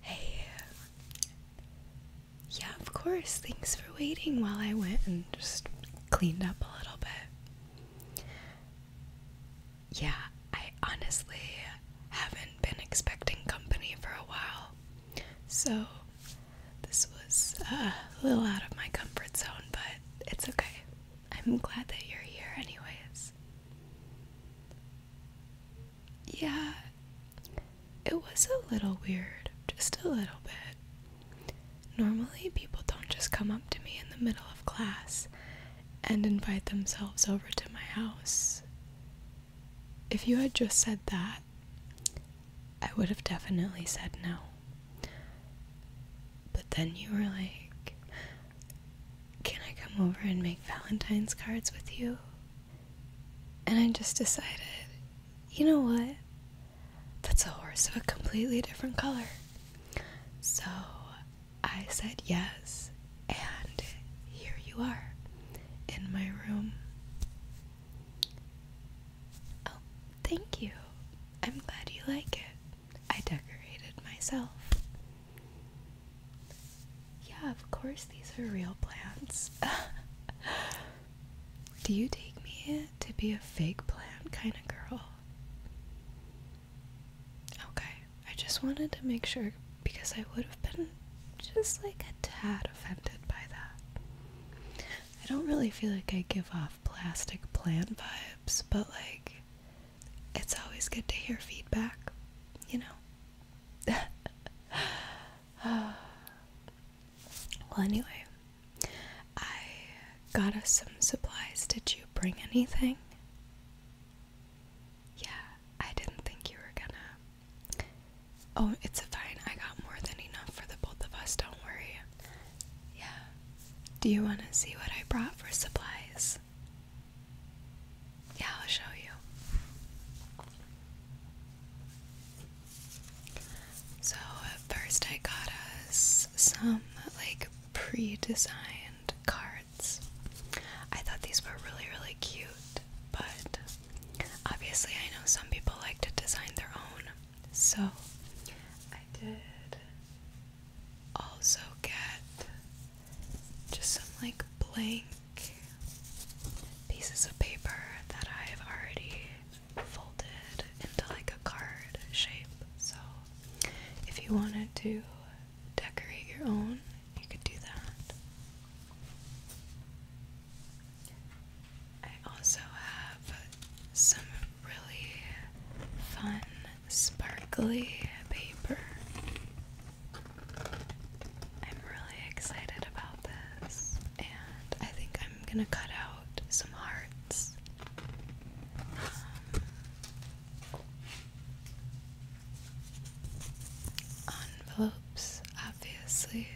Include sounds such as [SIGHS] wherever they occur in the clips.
hey. Yeah, of course. Thanks for waiting while I went and just cleaned up a little bit. Yeah, I honestly haven't been expecting company for a while. So, this was a little out of my comfort zone, but it's okay. I'm glad that you're here, anyways. Yeah, it was a little weird, just a little bit. Normally, people don't just come up to me in the middle of class and invite themselves over to my house. If you had just said that, I would have definitely said no. But then you were like, can I come over and make Valentine's cards with you? And I just decided, you know what? That's a horse of a completely different color. So I said yes, and here you are in my room. Oh, thank you. I'm glad you like it. I decorated myself. Yeah, of course, these are real plants. [LAUGHS] Do you take me to be a fake plant kind of girl? Okay, I just wanted to make sure because I would have been just like a tad offended by that. I don't really feel like I give off plastic plant vibes, but like it's always good to hear feedback, you know. [SIGHS] well, anyway, I got us some supplies. Did you bring anything? Yeah, I didn't think you were gonna. Oh, it's fine. I got more than enough for the both of us. Don't worry. Yeah. Do you want to see what I brought for supplies? Yeah, I'll show you. So, first, I got us some like pre designed cards. I thought these were really, really cute, but obviously, I know some people like to design their own. So, I did also get just some like blank pieces of paper that I've already folded into like a card shape. So if you wanted to decorate your own, you could do that. I also have some really fun sparkly paper. I'm really excited about this, and I think I'm gonna cut out some hearts. Um, envelopes, obviously.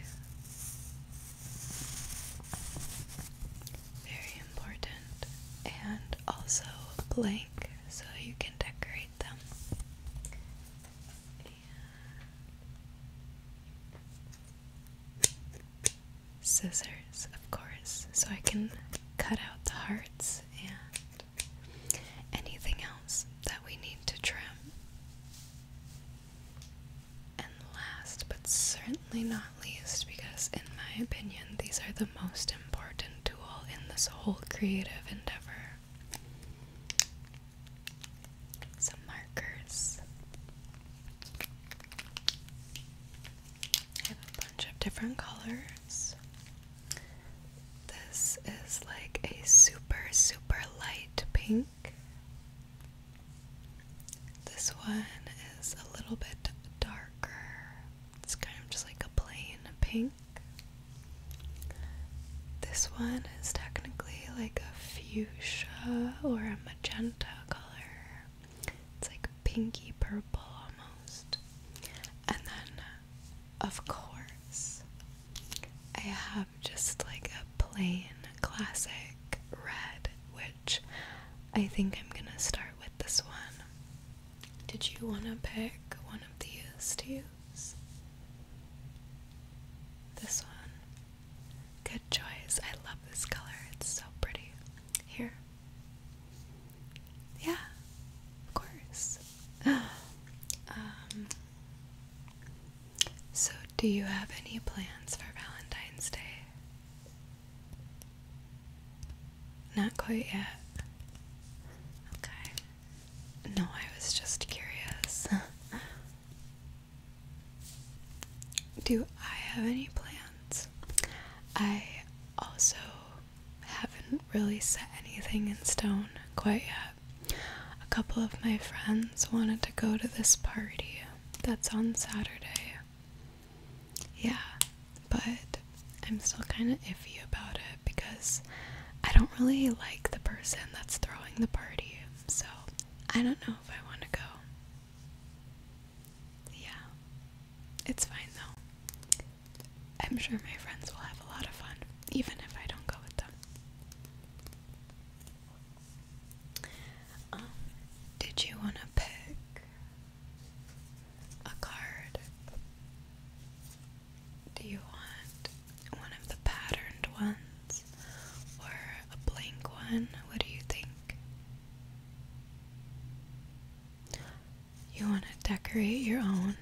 Very important, and also blank so you can decorate them. scissors, of course, so I can cut out the hearts and anything else that we need to trim. And last but certainly not least, because in my opinion, these are the most important in this whole creative endeavor. Some markers. I have a bunch of different colors. This is like a super, super light pink. This one is a little bit darker. It's kind of just like a plain pink. This one is technically like a fuchsia or a magenta color. It's like pinky purple almost. And then, of course, I have just like a plain classic red, which I think I'm gonna start with this one. Did you want to pick one of these to use? This one. Good choice. I love this color. It's so pretty. Here. Yeah, of course. [GASPS] um, so, do you have any plans for Valentine's Day? Not quite yet. Okay. No, I was just curious. [LAUGHS] Do I have any plans? I also haven't really set anything in stone quite yet. A couple of my friends wanted to go to this party that's on Saturday yeah, but I'm still kind of iffy about it because I don't really like the person that's throwing the party, so I don't know if I want to go. Yeah, it's fine though. I'm sure my friends will have a lot of fun, even if I don't go with them. Um, did you want to pick a card. Do you want one of the patterned ones or a blank one? What do you think? You want to decorate your own?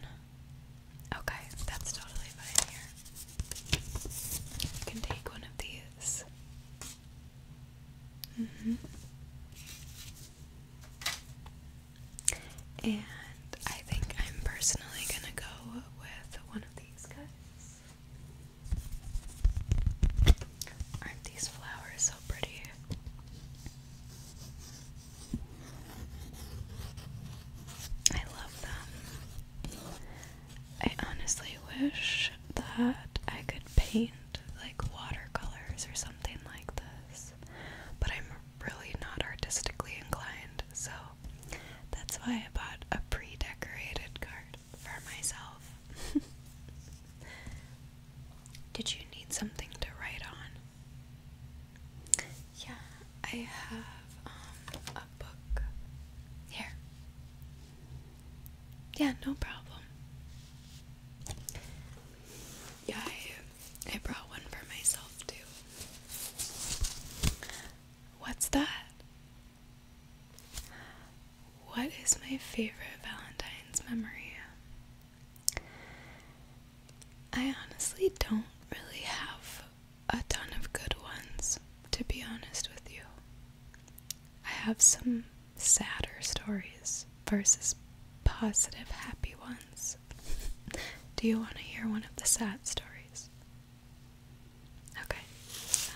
Okay, that's totally fine You can take one of these. Mm -hmm. And I think I'm personally gonna go with one of these guys. Aren't these flowers so pretty? I love them. I honestly wish that I could paint like watercolors or something like this. But I'm really not artistically inclined, so that's why I bought a pre decorated card for myself. [LAUGHS] Did you need something to write on? Yeah, I have um, a book here. Yeah, no problem. Yeah, I, brought one for myself too. What's that? What is my favorite Valentine's memory? I honestly don't really have a ton of good ones, to be honest with you. I have some sadder stories versus positive, happy ones. [LAUGHS] Do you want to hear one of the sad stories? Okay, so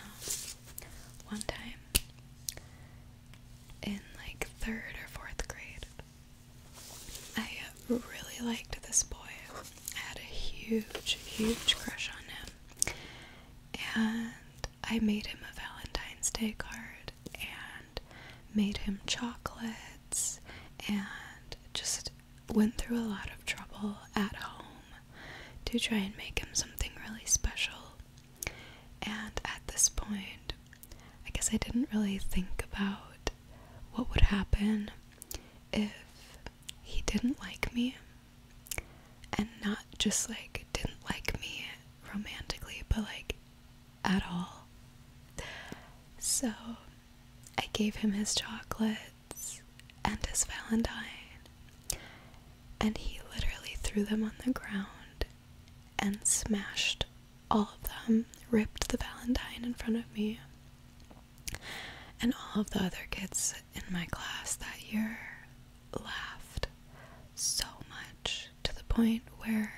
one time in like third or fourth grade, I really liked this boy. I had a huge, huge crush on him, and I made him a Valentine's Day card and made him chocolates and just went through a lot of trouble at home to try and make him something really special. And at this point, I guess I didn't really think about what would happen if he didn't like me and not just like didn't like me romantically, but like at all. So I gave him his chocolates and his Valentine, and he literally threw them on the ground and smashed all of them, ripped the Valentine in front of me. And all of the other kids in my class that year laughed so much to the point where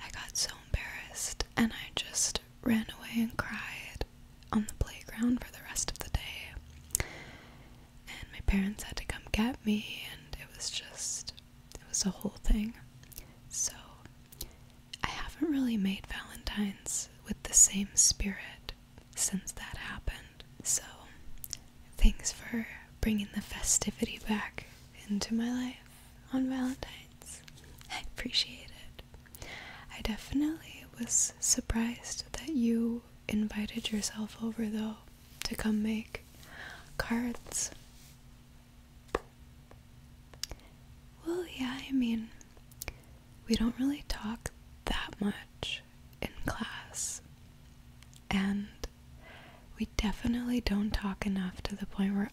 I got so embarrassed and I just ran away and cried on the playground for the rest of the day. And my parents had to come get me, and it was just, it was a whole thing. So, I haven't really made Valentine's with the same spirit since that happened. So, thanks for bringing the festivity back into my life on Valentine's. I appreciate it. I definitely was surprised that you invited yourself over, though, to come make cards. Well, yeah, I mean, we don't really talk that much in class, and we definitely don't talk enough to the point where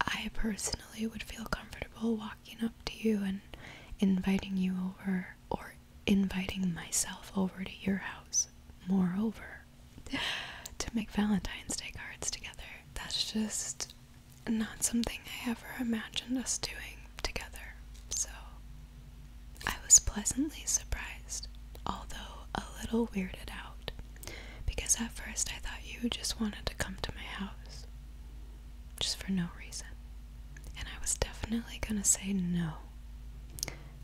I personally would feel comfortable walking up to you and inviting you over or inviting myself over to your house. Moreover, [LAUGHS] to make Valentine's Day cards together. That's just not something I ever imagined us doing together. So I was pleasantly surprised, although a little weirded out. Because at first I thought you just wanted to come to my house. Just for no reason. And I was definitely gonna say no.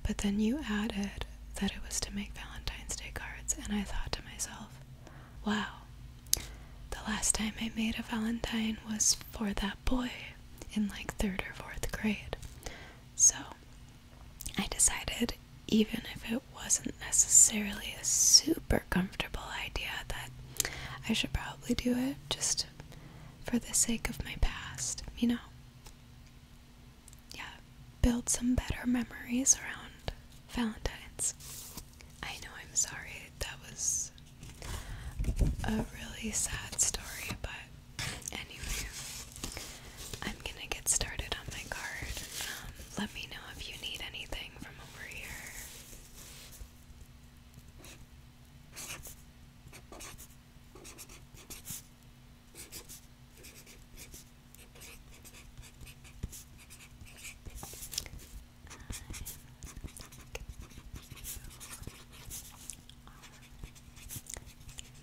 But then you added that it was to make Valentine's Day cards, and I thought to myself, wow, the last time I made a Valentine was for that boy in like third or fourth grade. So I decided, even if it wasn't necessarily a super comfortable idea, that I should probably do it just for the sake of my past, you know? Yeah, build some better memories around Valentine's. I know I'm sorry, that was a really sad story, but anyway, I'm gonna get started on my card. Um, let me know if you need anything from over here. Um, um,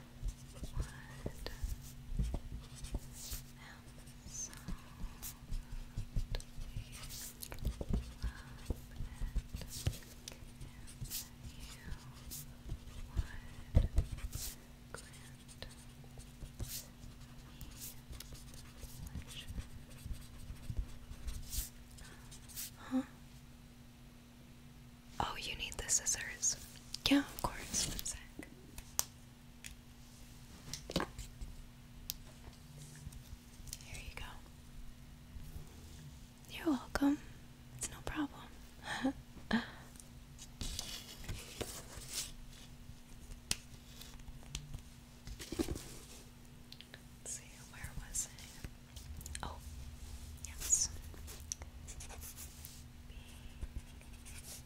would and so would you would grant me pleasure. Huh? Oh, you need the scissors. Yeah, of course. Here you go. You're welcome. It's no problem. Oh, yes.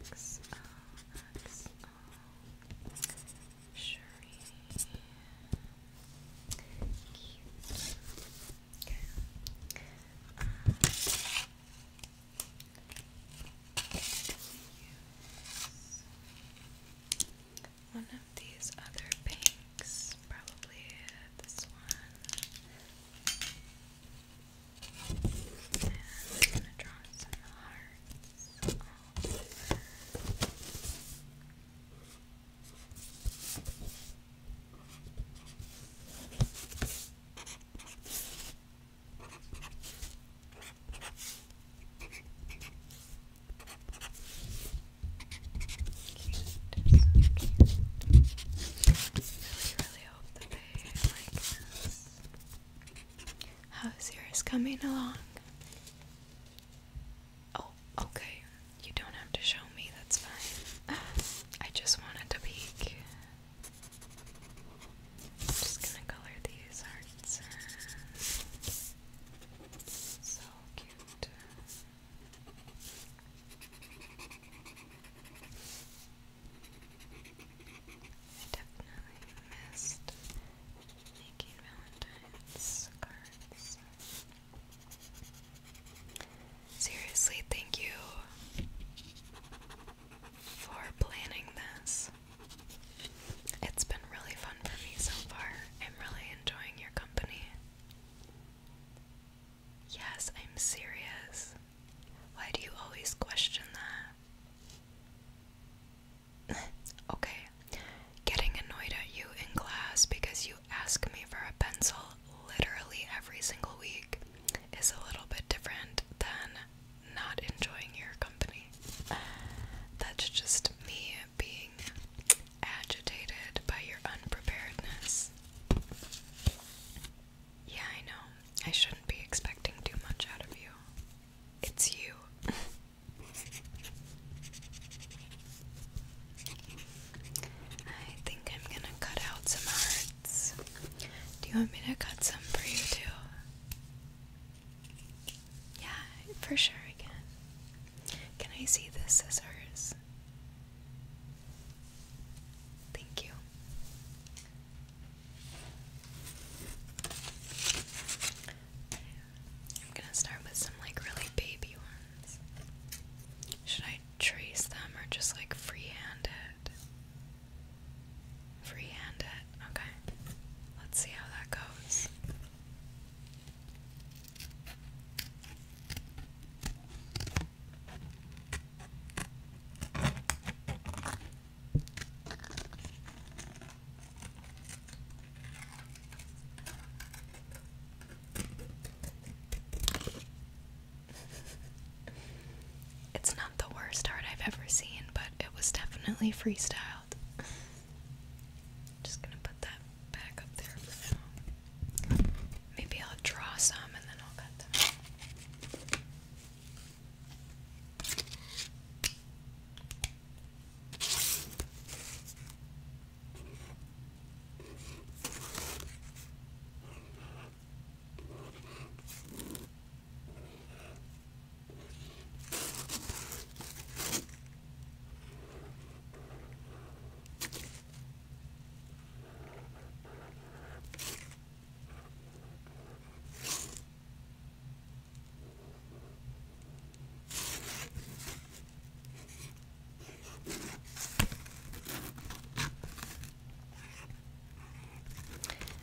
X O X O Shuri Cute. One of these other paint next. Probably this one. And I'm gonna draw some hearts. All over really, really hope that they like this. How's yours coming along? Oh, okay. You don't have to show me, that's fine. I just wanted to peek. just gonna color these hearts. So cute. I definitely missed making Valentine's cards. Seriously, thank you for planning this. It's been really fun for me so far. I'm really enjoying your company. Yes, I'm serious. Why do you always question that? [LAUGHS] okay, getting annoyed at you in class because you ask me for a pencil literally every single week is a little bit different than not enjoying your company. That's just me being agitated by your unpreparedness. Yeah, I know. I shouldn't be expecting too much out of you. It's you. I think I'm gonna cut out some hearts. Do you want me to cut some for you too? Yeah, for sure I Can I see the scissors? Thank you. I'm gonna start with some like really baby ones. Should I trace them or just like freehand it? Freehand it. Okay. Let's see how that goes it's not the worst art I've ever seen, but it was definitely freestyle. Just gonna put that back up there for now. Maybe I'll draw some and then I'll cut them.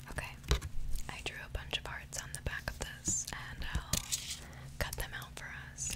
Okay, I drew a bunch of hearts on the back of this, and I'll cut them out for us.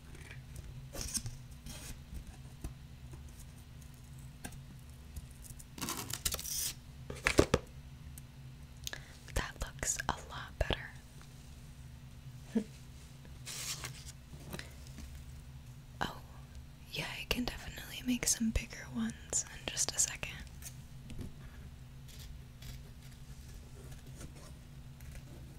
That looks a lot better. [LAUGHS] oh, yeah, I can definitely make some bigger ones in just a second.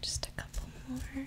Just a couple more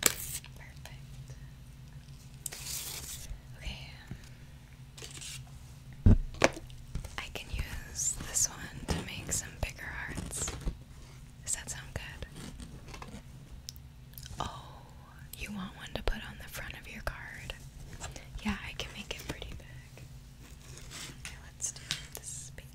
Perfect. Okay. Um, I can use this one to make some bigger hearts. Does that sound good? Oh, you want one to put on the front of your card? Yeah, I can make it pretty big. Okay, let's do this pink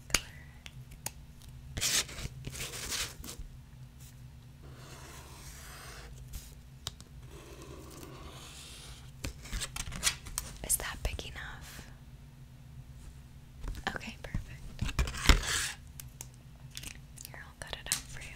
is that big enough? Okay, perfect. Here, I'll cut it out for you.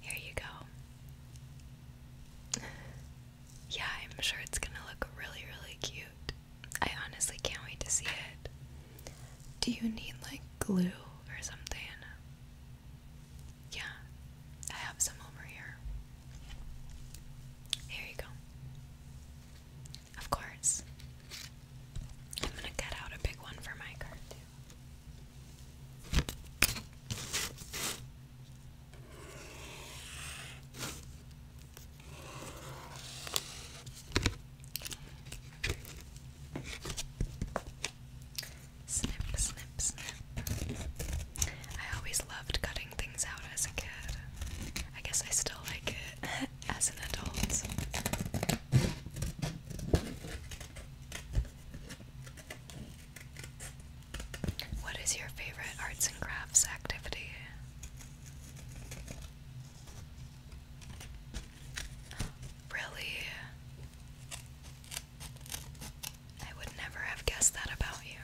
Here you go. Yeah, I'm sure it's gonna look really, really cute. I honestly can't wait to see it. Do you need like glue or something? Yeah, I have some over here. Here you go. Of course. I'm gonna cut out a big one for my card too. Snip, snip, snip. I always loved cutting things out as a kid. I guess I still like it [LAUGHS] as an adult. What is your favorite arts and crafts activity? Really? I would never have guessed that about you.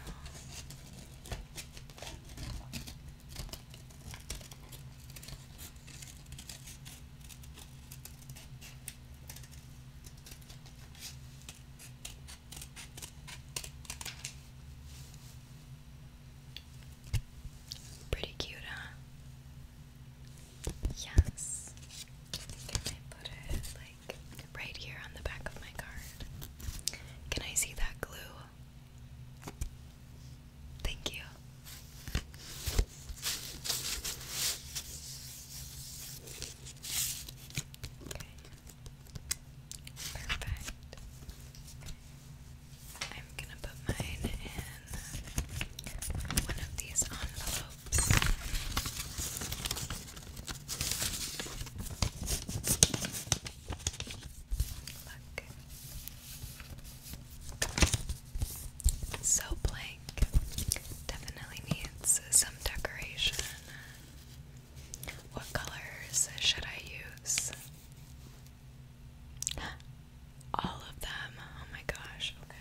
Pretty cute, huh? Yes. put it like right here on the back of my card? Can I see that glue? Thank you. Perfect. I'm gonna put mine in one of these envelopes. Look. So blank definitely needs some decoration. What colors should I use? All of them. Oh my gosh. Okay.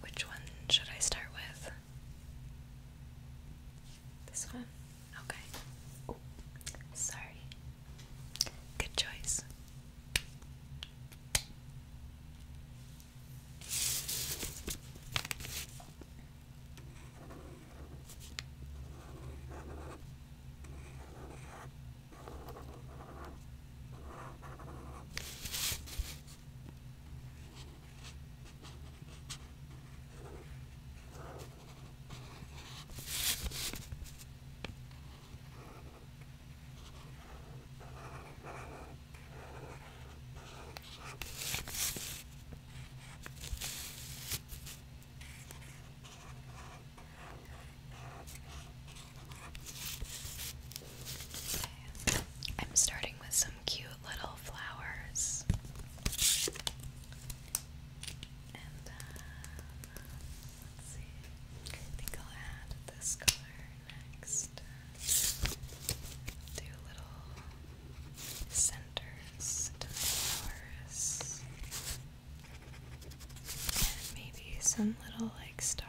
which one should I start with? This one? Okay. sorry. Good choice. I'm starting with some cute little flowers. And uh, I think I'll add this color next. Do little centers to the flowers. And maybe some little like stars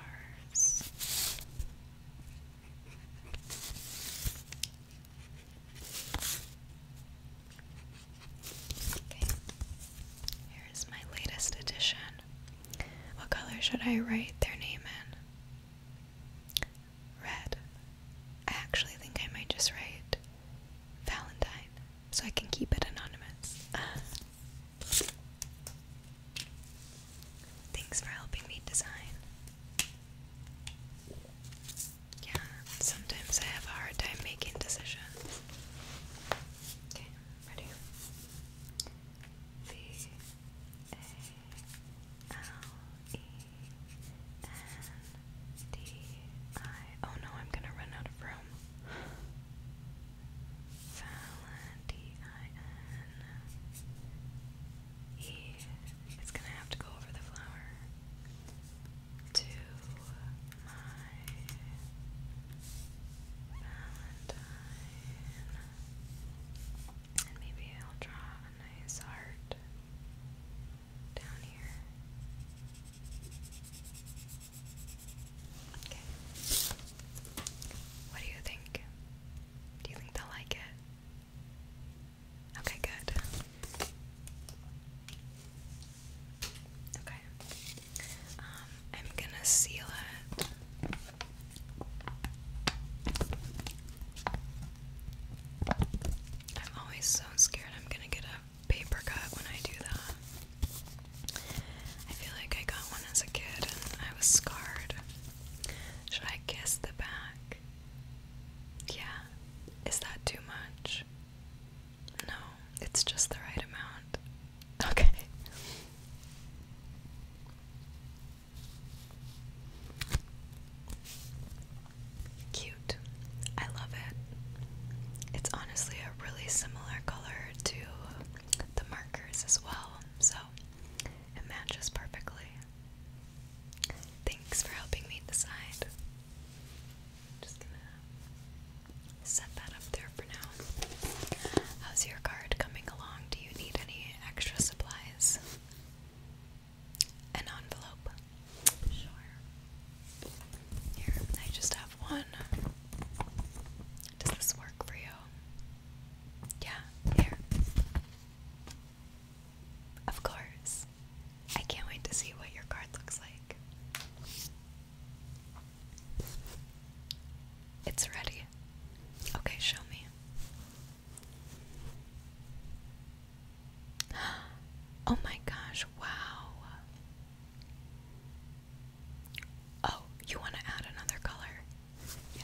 here is my latest edition. What color should I write their name in? Red. I actually think I might just write Valentine so I can keep it anonymous. Thanks for helping me design. Yeah, sometimes I have a hard time making decisions. ready? V A L E N D I. Oh no, I'm gonna run out of room. Valentine. It's gonna have to go over the flower to my Valentine. And maybe I'll draw a nice heart down here. Okay. What do you think? Do you think they'll like it? Okay, good. Okay. Um, I'm gonna seal it. I'm always so scared I'm gonna get a paper cut when I do that. I feel like I got one as a kid and I was scarred. Should I kiss the back? yeah, is that too much? No, it's just the right amount. [LAUGHS] Okay. Cute. I love it. It's honestly a really similar color to the markers as well, so it matches perfectly. Thanks for helping me decide. Just gonna set that up there for now. How's your card coming along? Do you need any extra supplies? An envelope? Sure. Here, I just have one. Does this work for you? Yeah, here. Of course. I can't wait to see what your card looks like. It's ready. Okay, show me. [GASPS] Oh my gosh, wow. Oh, you want to add another color? Yeah.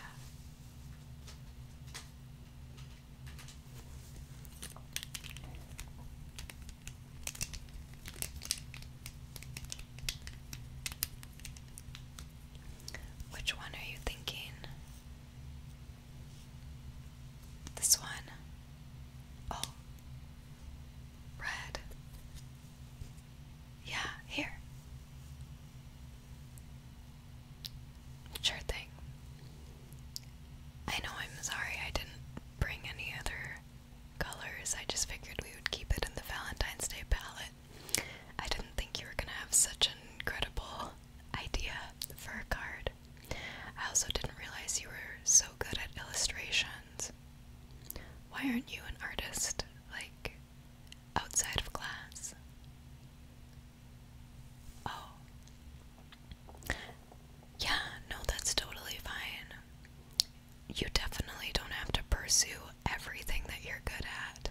Which one are you thinking? This one? Oh, red. Yeah, here. Sure thing. I know I'm sorry I didn't bring any other colors. I just figured we would keep it in the Valentine's Day palette. I didn't think you were gonna have such an incredible idea for a card. I also didn't realize you were so good at illustrations. Why aren't you an artist, like outside of class? Oh. Yeah, no, that's totally fine. You definitely don't have to pursue everything that you're good at.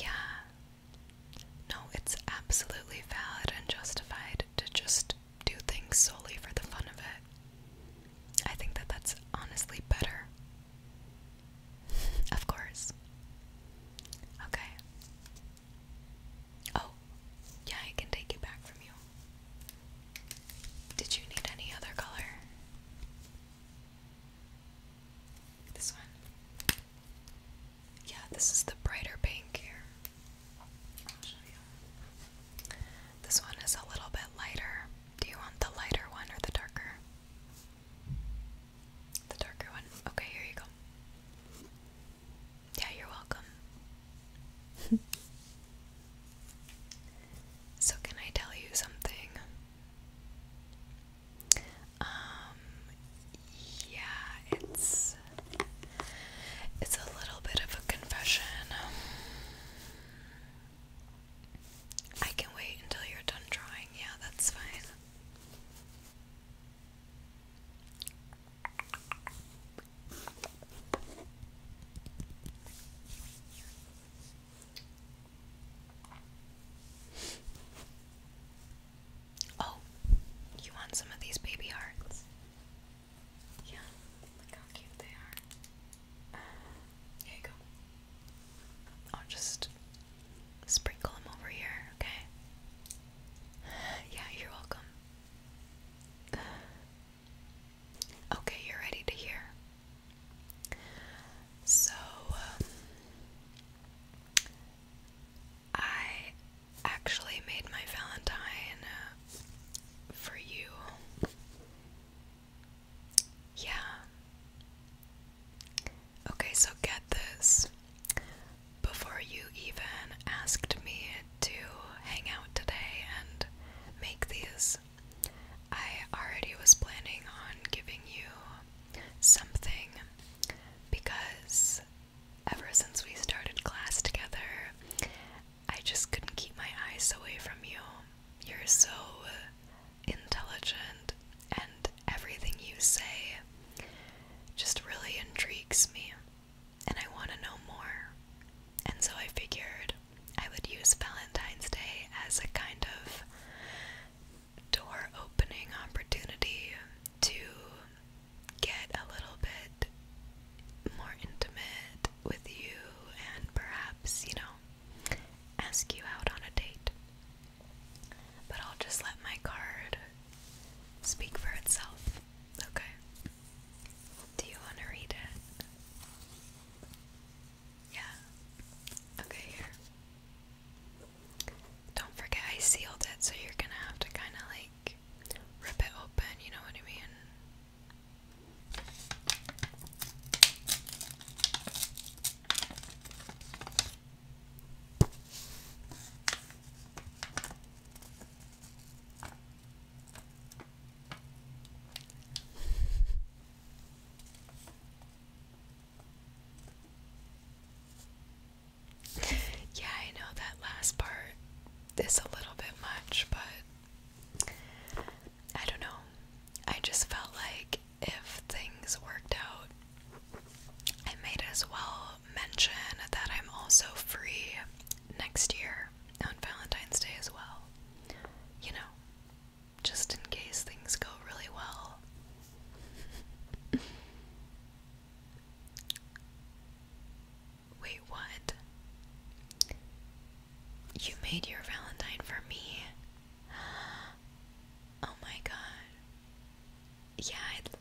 Yeah. No, it's absolutely valid and justified to just do things solely for the fun of it. I think that that's honestly better. [LAUGHS] Of course. Okay. Oh, yeah, I can take it back from you. Did you need any other color? This one? Yeah, this is the brighter pink here. I'll show you. This one is a little bit lighter. Do you want the lighter one or the darker? The darker one. Okay, here you go. Yeah, you're welcome. [LAUGHS] so, can I tell you something? Um, yeah, it's it's a little bit of a confession. I can wait until you're done drawing. Yeah, that's fine. Oh, you want some of these baby hearts? Yeah, look how cute they are. here you go. I'll just sprinkle them over here, okay? Yeah, you're welcome. Okay, you're ready to hear. So, um, I actually made my Valentine uh, for you. Yeah. Okay, so get this. Before you even asked me to hang out today and make these, I already was planning on giving you something because ever since we started class together, I just couldn't keep my eyes away from you. You're so intelligent and everything you say just really intrigues me, and I want to know more. And so I figured I would use Valentine's Day as a kind of door opening opportunity to get a little bit more intimate with you and perhaps, you know, ask you out on a date. But I'll just let my card speak for itself. Okay. Do you want to read it? Yeah. Okay, here. Don't forget I sealed it, so you're gonna have to kind of like rip it open, you know what I mean? yeah, I know that last part is a little bit much, but I don't know. I just felt like if things worked out I might as well mention that I'm also free next year on Valentine's Day as well. You know, just in case things go really well. Wait, what? You made your Valentine for me? [GASPS] Oh my god. Yeah,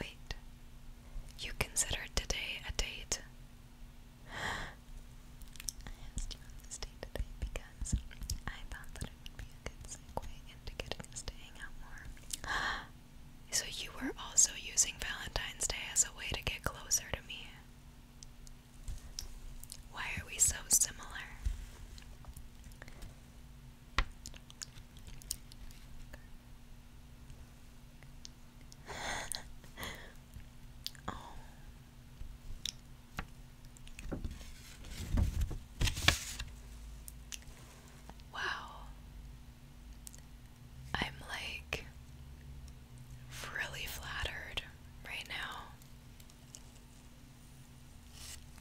Wait. You considered today a date? I today because I thought that it would be a good segue into getting us to hang out more. [GASPS] so you were also using Valentine's Day as a way to get closer to me. Why are we so similar? oh. Wow. I'm like really flattered right now.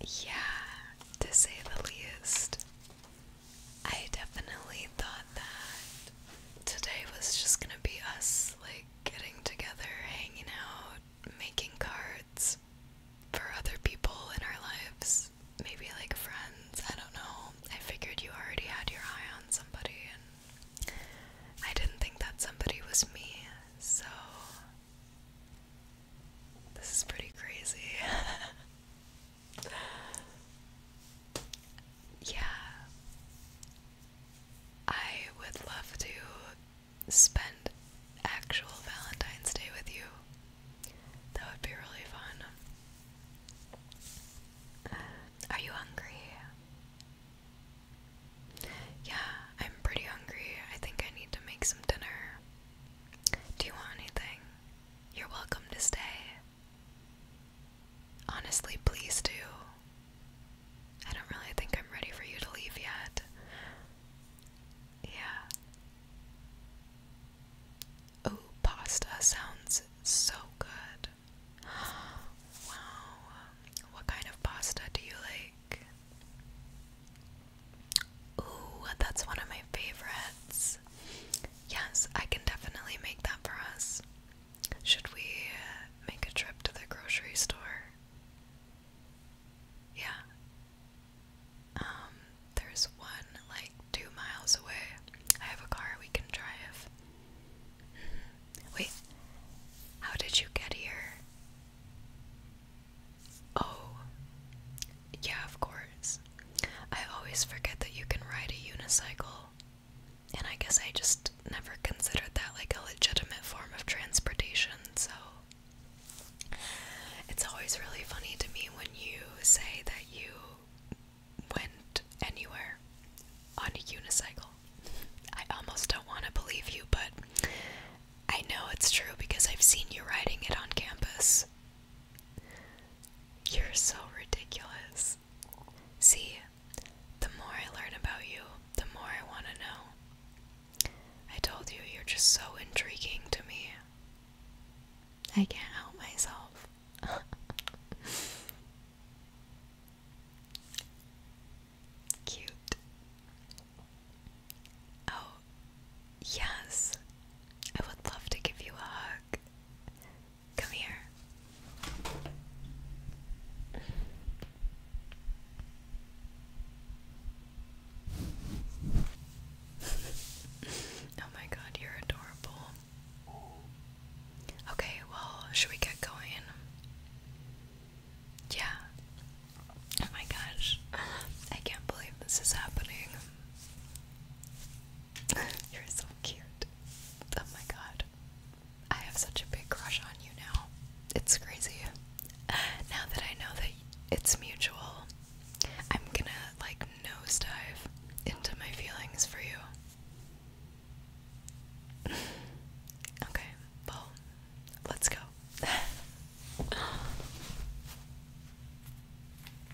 Yeah, to say the least. I definitely thought that today was just gonna be us like getting together, hanging out, making cards for other people in our lives. Maybe like friends, I don't know. I figured you already had your eye on somebody, and I didn't think that somebody was me, so this is pretty crazy. [LAUGHS] yeah, I would love to spend actual Valentine's Day with you. That would be really fun. Are you hungry? Yeah, I'm pretty hungry. I think I need to make some dinner. Do you want anything? You're welcome to stay. Honestly, please do. I don't really think I'm ready for you to leave yet. Yeah. Oh, pasta sounds so good. [GASPS] Wow. What kind of pasta do you like? Ooh, that's one of my favorites. Yes, I can definitely make that for us. Should we make a trip to the grocery store? Yeah. Um, there's one like two miles away. I have a car we can drive. Mm-hmm. Wait, how did you get here? Oh, yeah, of course things. I always forget that you can ride a unicycle, and I guess I just never considered that like a legitimate form of transportation, so. It's always really funny to me when you say that you went anywhere on a unicycle. I almost don't want to believe you, but I know it's true because I've seen you riding it on campus. You're so ridiculous. See, the more I learn about you, the more I want to know. I told you, you're just so intriguing to me. I can't help myself. [LAUGHS] Cute. Oh, yes. I would love to give you a hug. Come here. [LAUGHS] oh my god, you're adorable. Okay, well, should we get going? Yeah. Oh my gosh. I can't believe this is happening. You're so cute. Oh my god. I have such a big crush on you now. It's crazy. Now that I know that it's mutual, I'm gonna like nosedive into my feelings for you. [SIGHS] okay, well, let's go. [LAUGHS]